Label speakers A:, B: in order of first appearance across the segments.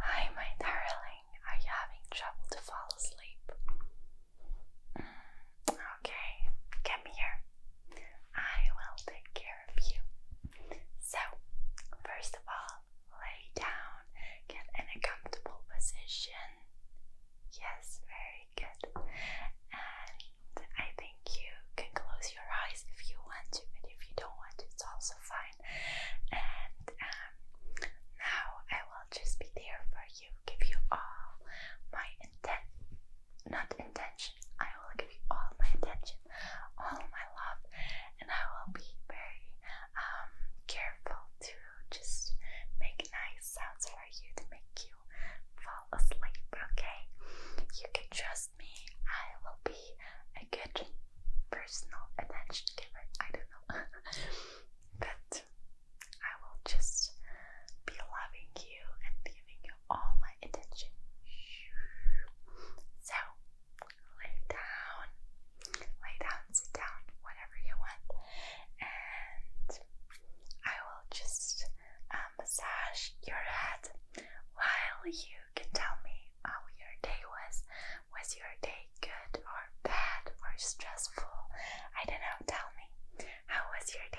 A: Hi, my darling. Are you having trouble to fall asleep? Mm, okay, come here. I will take care of you. So, first of all, lay down, get in a comfortable position. Yes, very good. And I think you can close your eyes if you want to, but if you don't want to, it's also fine. And um, now I will just be there for you, give you all my intent, not intention, I will give you all my attention, all my love, and I will be very um, careful to just make nice sounds for you to make you fall asleep, okay? You can trust me, I will be a good personal attention giver. I don't know. but I will just be loving you and giving you all my attention. So lay down, lay down, sit down, whatever you want, and I will just uh, massage your head while you can tell me how your day was. Was your day good or bad or stressful? I don't know. Tell me. How was your day?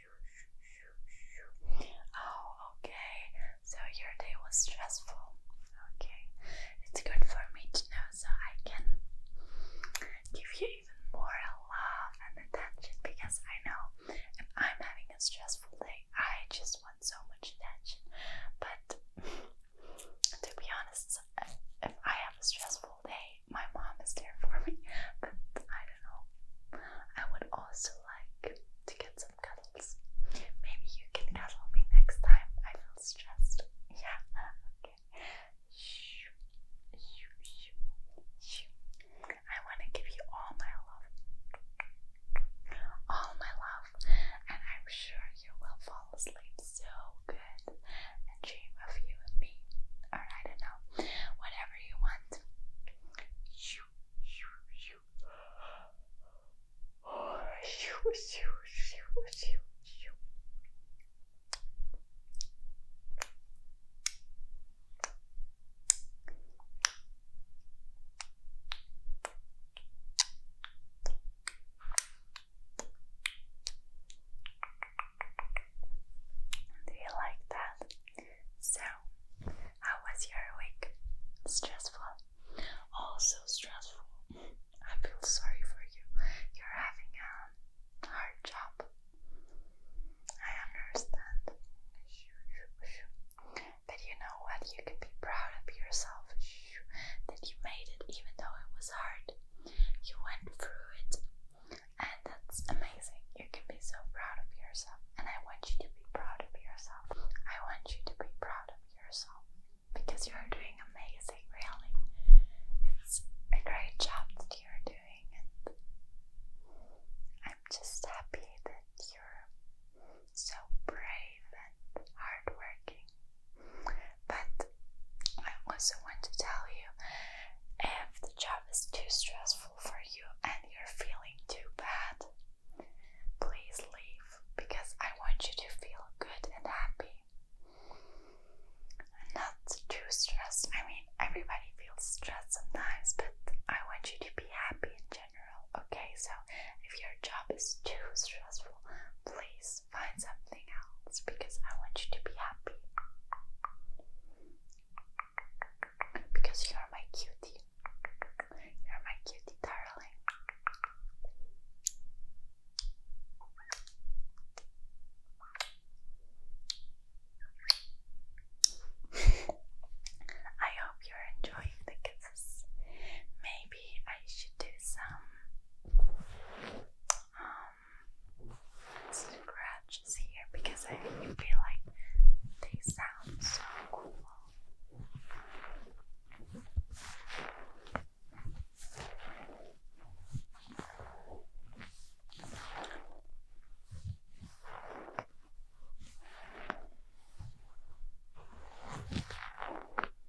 A: Oh, okay. So your day was stressful. Okay. It's good for me to know so I can give you even more love and attention because I know if I'm having a stressful day, I just want so much attention. But to be honest, if I have a stressful my mom is there for me, but I don't know. I would also like to get some cuddles. Maybe you can cuddle me next time. I feel stressed. Yeah, okay. I want to give you all my love. All my love. And I'm sure you will fall asleep so good and dream of you and me, or I don't know, whatever you want. You, you, you, oh, you, you, you, you, you. Thank do you like that? So, how was your week? Stressful? Oh, so stressful. I feel sorry for you. You're having a hard job. I understand. But you know what? You can be proud of yourself that you made it, even though it was hard you went through it, and that's amazing. You can be so proud of yourself, and I want you to be proud of yourself. I want you to be proud of yourself because you are doing amazing, really. It's a great job that you're doing, and I'm just happy that you're so brave and hardworking but I also want to tell you if the job is too stressful for you and you're feeling too bad, please leave because I want you to feel good and happy. Not too stressed. I mean, everybody feels stressed sometimes, but I want you to be happy in general. Okay, so if your job is too stressful, please find something else because I want you to be happy. Because you are my cutie. You're my cutie, darling. I hope you're enjoying the kisses. Maybe I should do some um, scratches here because I feel like they sound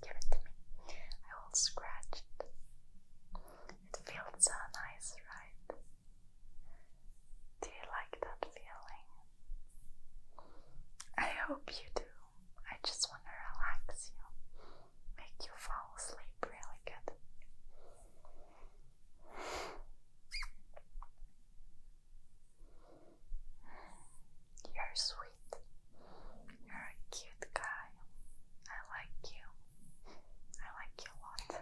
A: Give it to me. I will scratch it. It feels so nice, right? Do you like that feeling? I hope you do. I just want to relax you, make you fall asleep really good. You're sweet. You're a cute guy. I like you. I like you a lot.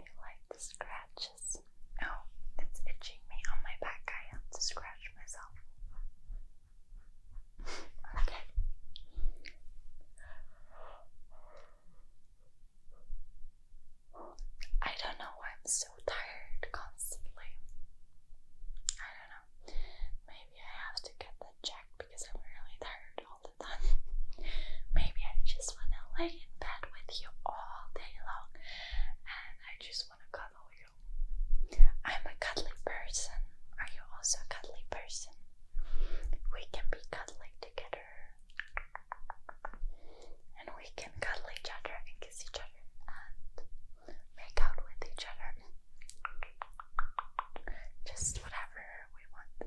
A: You like scratches? Oh, it's itching me on my back. I have to scratch myself. Okay. I don't know why I'm so tired constantly. I don't know. Maybe I have to get the check because I'm really tired all the time. Maybe I just want to lay in bed with you all day long and I just want to cuddle you I'm a cuddly person. Are you also a cuddly person? We can be cuddling together. And we can cuddle each other and kiss each other and make out with each other. Just whatever we want.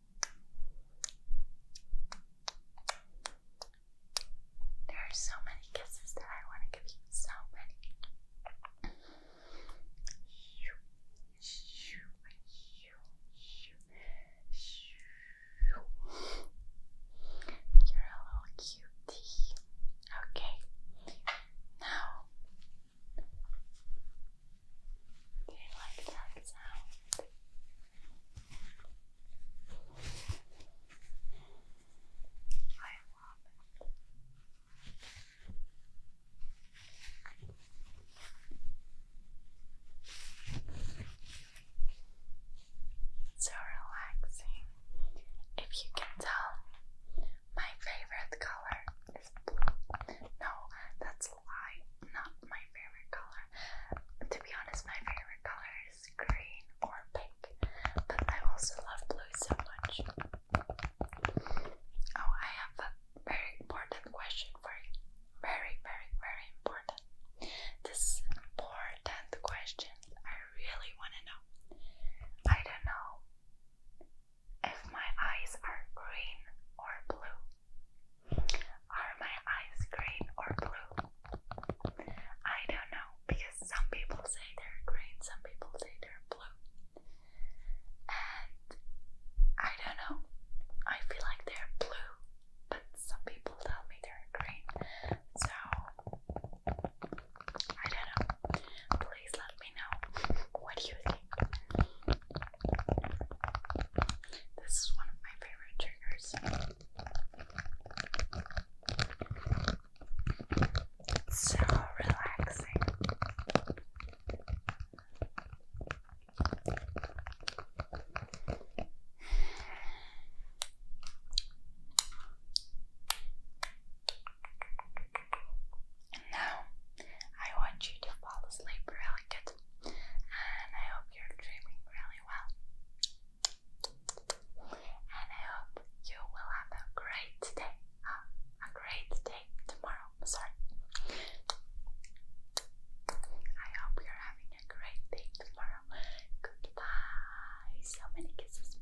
A: There are so many kisses that I want to give you. So many. You're a little cutie. Okay. Now do you like that sound? I love it. So relaxing. If you can tell, my favorite color no, that's a lie. Not my favorite color. To be honest, my favorite color is green or pink, but I also love blue so much. Oh, I have a very important question for you. Very, very, very important. This important question I really want to know. I don't know if my eyes are green or blue. Are my eyes green or blue? I don't know because some people say they're green, some people say they're blue. And I don't know. I feel like they're blue, but some people tell me they're green. So I don't know please let me know what you think. This is one of my favorite triggers. so relaxing now I want you to fall asleep really good. And I hope you're dreaming really well. And I hope you will have a great day. Uh, a great day tomorrow. Sorry. I hope you're having a great day tomorrow. Goodbye. So many kisses.